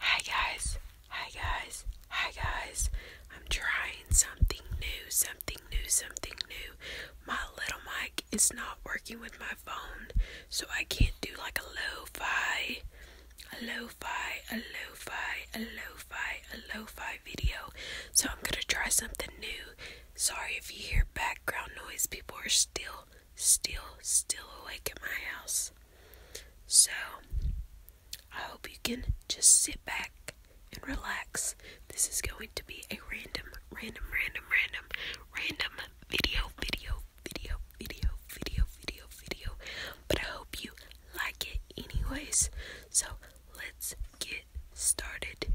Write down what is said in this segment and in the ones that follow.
Hi guys, hi guys, hi guys. I'm trying something new, something new, something new. My little mic is not working with my phone, so I can't do like a lo-fi, a lo a lo a lo a lo video. So I'm gonna try something new. Sorry if you hear background noise, people are still, still, still awake at my house. So, I hope you can just sit back and relax. This is going to be a random, random, random, random, random video, video, video, video, video, video, video. But I hope you like it anyways. So, let's get started.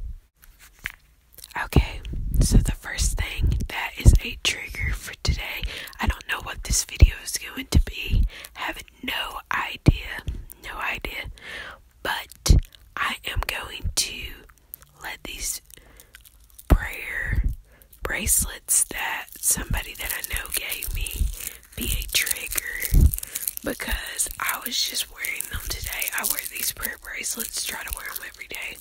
Okay, so the first thing that is a trigger for today I don't know what this video is going to be. Have no idea. No idea. But I am going to let these prayer bracelets that somebody that I know gave me be a trigger because I was just wearing them today. I wear these prayer bracelets, try to wear them every day.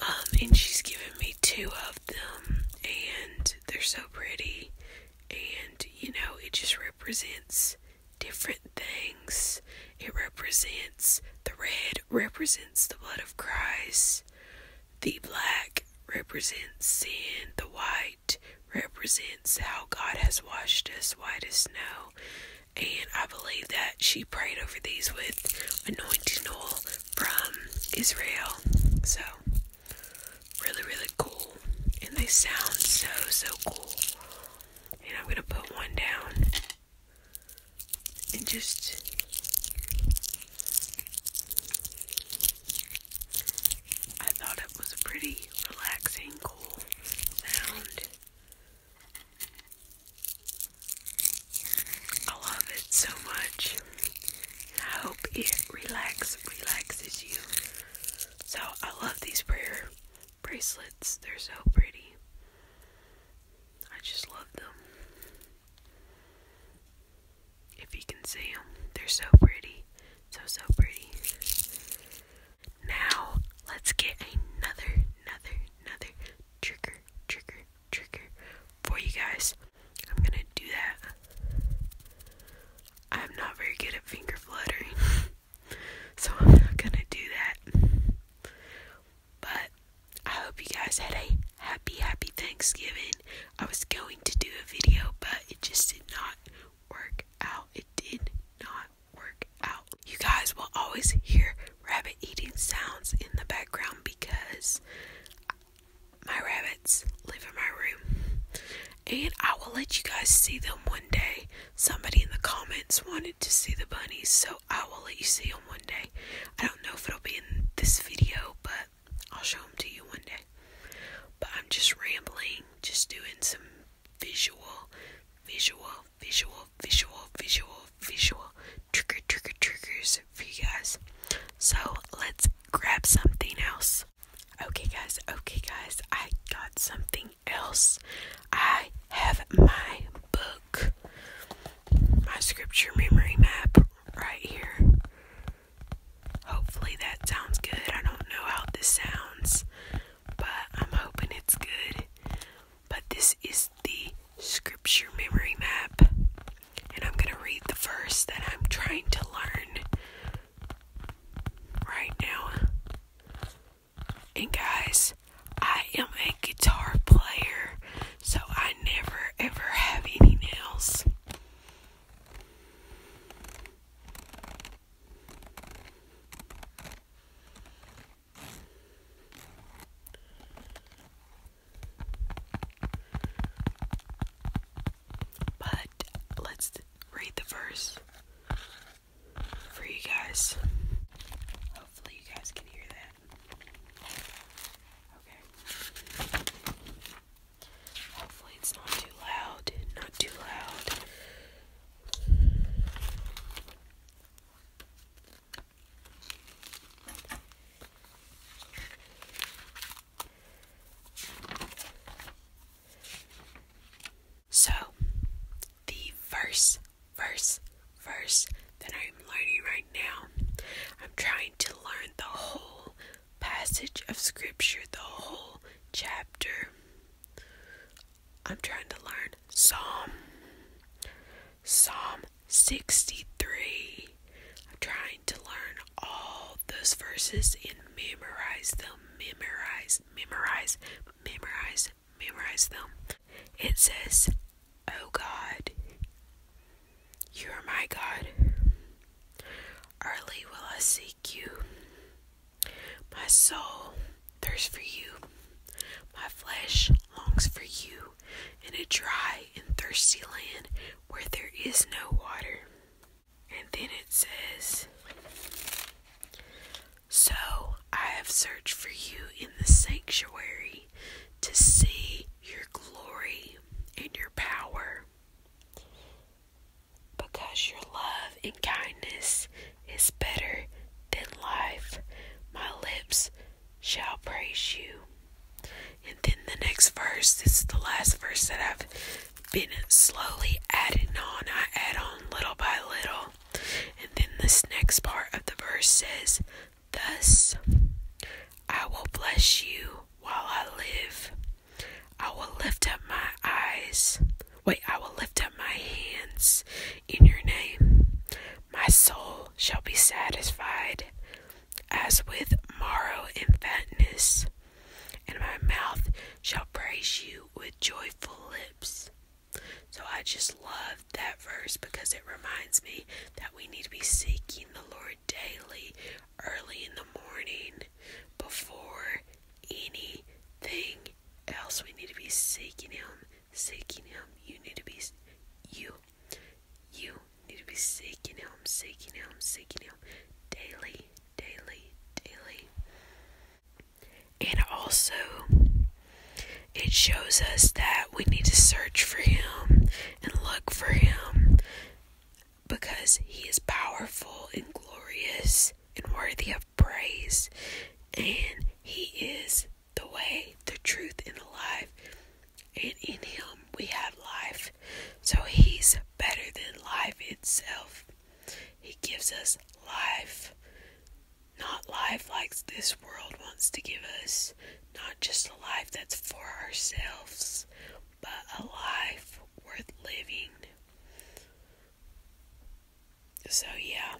Um, and she's given me two of them and they're so pretty and you know it just represents different things it represents the red represents the blood of Christ the black represents sin the white represents how God has washed us white as snow and I believe that she prayed over these with anointing oil from Israel. So, really, really cool. And they sound so, so cool. And I'm going to put one down and just. I thought it was a pretty relaxing, cool sound. I love it so much. I hope it relax relaxes you. So I love these prayer bracelets. They're so pretty. I just love them. If you can see them, they're so pretty. So so pretty. Now let's get another another another trigger trigger trigger for you guys. I'm gonna do that. I'm not very good at finger fluttering, so I'm not gonna do that. But I hope you guys had a happy, happy Thanksgiving. I was going to do a video, but it just did not work out. It did not work out. You guys will always hear rabbit eating sounds in the background because my rabbits live in my room. And I will let you guys see them one day. Somebody in the comments wanted to see the bunnies, so I will let you see them one day. I don't know if it'll be in this video, but I'll show them to you one day. But I'm just rambling, just doing some visual, visual, visual visual, visual, visual, trigger, trigger, triggers for you guys. So let's grab something else. Okay, guys, okay, guys, I got something else. I have my book, my scripture memory map right here. Hopefully, that sounds good. I don't know how this sounds, but I'm hoping it's good. But this is the scripture memory map, and I'm going to read the verse that I'm trying to learn right now. And guys, I am a guitar player, so I never ever have any nails. But let's read the verse for you guys. Hopefully, you guys can hear that. Okay. Hopefully, it's not too loud. Not too loud. So, the verse, verse, verse that I'm learning right now, I'm trying to learn the whole passage of Scripture, the whole chapter I'm trying to learn Psalm Psalm 63. I'm trying to learn all those verses and memorize them. Memorize, memorize, memorize, memorize them. It says, Oh God, you are my God. Early will I seek you. My soul thirsts for you. My flesh longs for you in a dry and thirsty land where there is no water. And then it says, So I have searched for you in the sanctuary to see your glory and your power. Because your love and kindness is better than life. My lips shall praise you. And then the next verse, this is the last verse that I've been slowly adding on. I add on little by little. And then this next part of the verse says, Thus I will bless you while I live. I will lift up my eyes Wait, I will lift up my hands in your name. My soul shall be satisfied as with marrow and fatness, and my mouth shall praise you with joyful lips. So I just love that verse because it reminds me that we need to be seeking the Lord daily, early in the morning, before anything else. We need to be seeking Him, seeking Him. You need to be, you, you need to be seeking Him, seeking Him, seeking Him daily, daily, daily. And also, it shows us that we need to search for Him and look for Him because He is powerful and glorious and worthy of praise, and He is the way, the truth, and the life. And in Him we have life. So He's better than life itself. He gives us life. Not life like this world wants to give us, not just a life that's for ourselves, but a life worth living. So, yeah,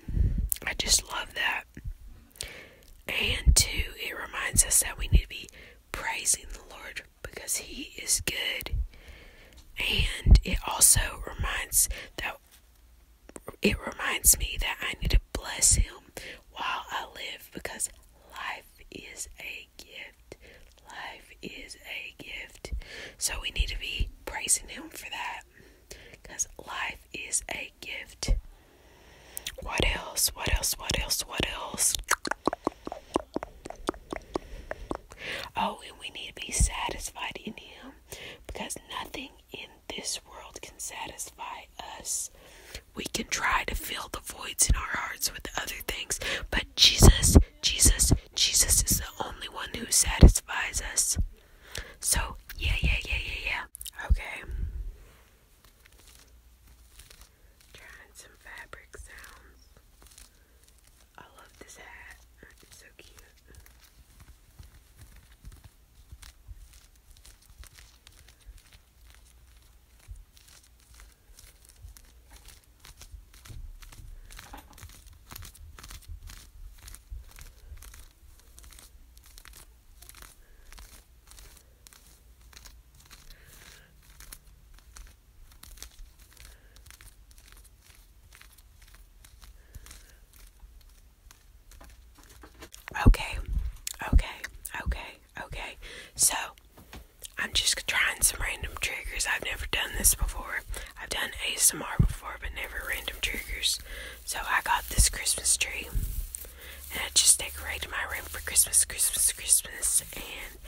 I just love that. And two, it reminds us that we need to be praising the Lord because He is good. And it also reminds that it reminds me that I need to bless Him while I live because life is a gift. Life is a gift. So we need to be praising Him for that. Because life is a gift. What else? What else? What else? What else? Oh, and we need to be satisfied in Him because nothing in this world can satisfy us. We can try to fill the voids in our hearts with other things, but Jesus, Jesus, Jesus is the only one who satisfies us. So, yeah, yeah, yeah, yeah, yeah. Okay. Trying some fabric sounds. I love this hat. so cute. Okay, okay, okay, okay. So, I'm just trying some random triggers. I've never done this before. I've done ASMR before, but never random triggers. So I got this Christmas tree, and I just decorated my room for Christmas, Christmas, Christmas. And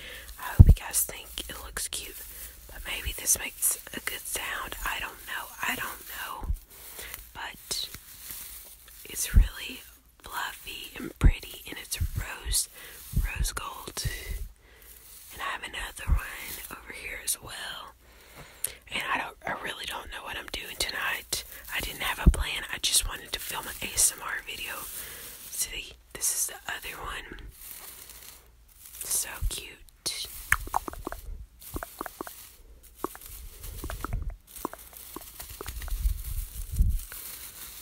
I hope you guys think it looks cute. But maybe this makes a good sound. I don't know. I don't know. But it's really fluffy and pretty, and it's rose, rose gold. And I have another one over here as well. And I don't I really don't know what I'm doing tonight. I didn't have a plan. I just wanted to film an ASMR video. See, this is the other one. So cute.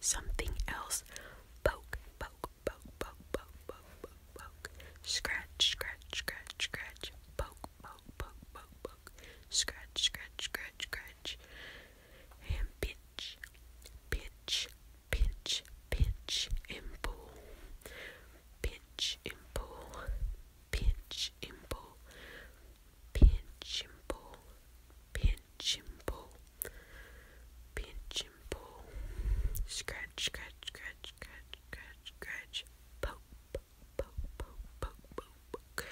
something else. Poke, poke, poke, poke, poke, poke, poke, Scratch, scratch, scratch, scratch. Poke, poke, poke, poke, poke. Scratch, scratch, scratch, scratch. And pitch, pitch, pitch, pitch, and pull. Pitch and pull pinch and pull, pinch and pull, pinch and pull, scratch, scratch, scratch, scratch, scratch, scratch, poke, poke, poke, poke, poke, poke,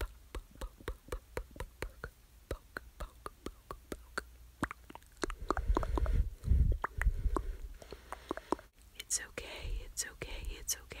poke, poke, poke, poke, poke, poke, poke, poke, poke. It's okay, it's okay, it's okay.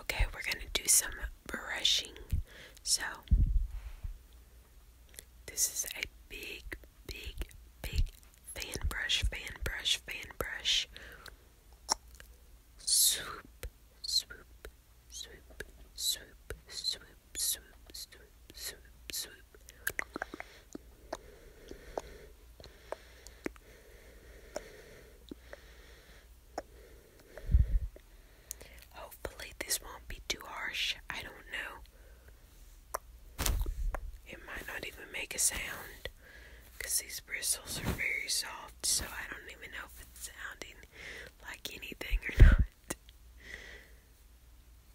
Okay, we're going to do some brushing. So, this is a big, big, big fan brush, fan brush, fan brush. Swoop, swoop, swoop, swoop, swoop, swoop, swoop, swoop, swoop. Hopefully, this won't be too harsh. I don't know. It might not even make a sound because these bristles are very soft, so I don't even know if it's sounding like anything or not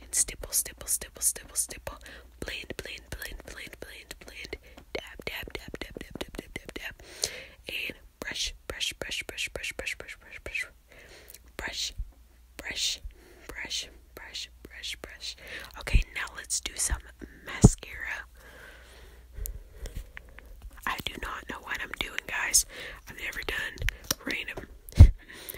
And stipple, stipple, stipple, stipple, stipple. Blend, blend, blend, blend, blend, blend. Dab, dab, dab, dab, dab, dab, dab, dab, dab. And brush, brush, brush, brush, brush, brush, brush, brush, brush. Brush, brush, brush, brush, brush, brush. Okay, now let's do some mascara. I do not know what I'm doing, guys. I've never done random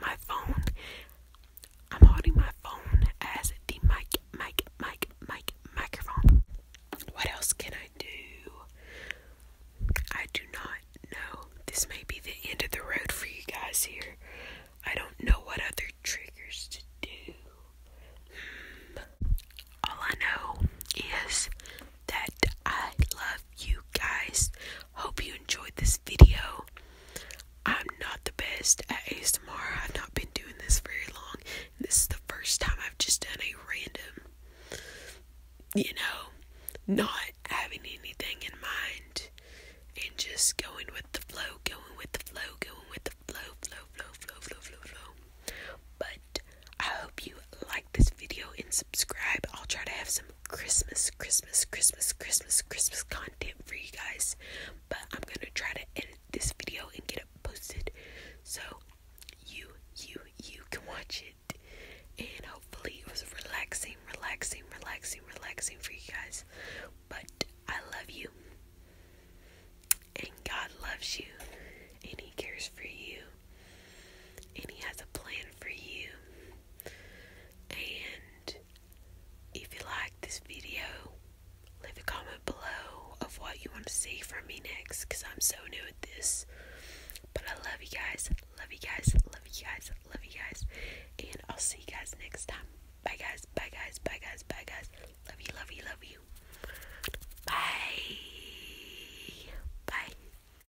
my phone. I'm holding my phone as the mic, mic, mic, mic, microphone. What else can I do? I do not know. This may be the end of the road for you guys here. I don't know what other triggers to do. Hmm. All I know is that I love you guys. Hope you enjoyed this video. I'm not the best at ASMR. I've not been doing this very long. This is the first time I've just done a random, you know, not having anything in mind and just going with the flow, going with the flow, going with the flow, flow, flow, flow, flow, flow, But I hope you this video and subscribe. I'll try to have some Christmas, Christmas, Christmas, Christmas, Christmas content for you guys. But I'm gonna try to edit this video and get it posted so you, you, you can watch it. And hopefully, it was relaxing, relaxing, relaxing, relaxing for you guys. But I love you, and God loves you, and He cares for you, and He has a plan for you. And if you like this video, leave a comment below of what you want to see from me next because I'm so new at this. But I love you guys, love you guys, love you guys, love you guys. And I'll see you guys next time. Bye guys, bye guys, bye guys, bye guys. Love you, love you, love you. Bye. Bye.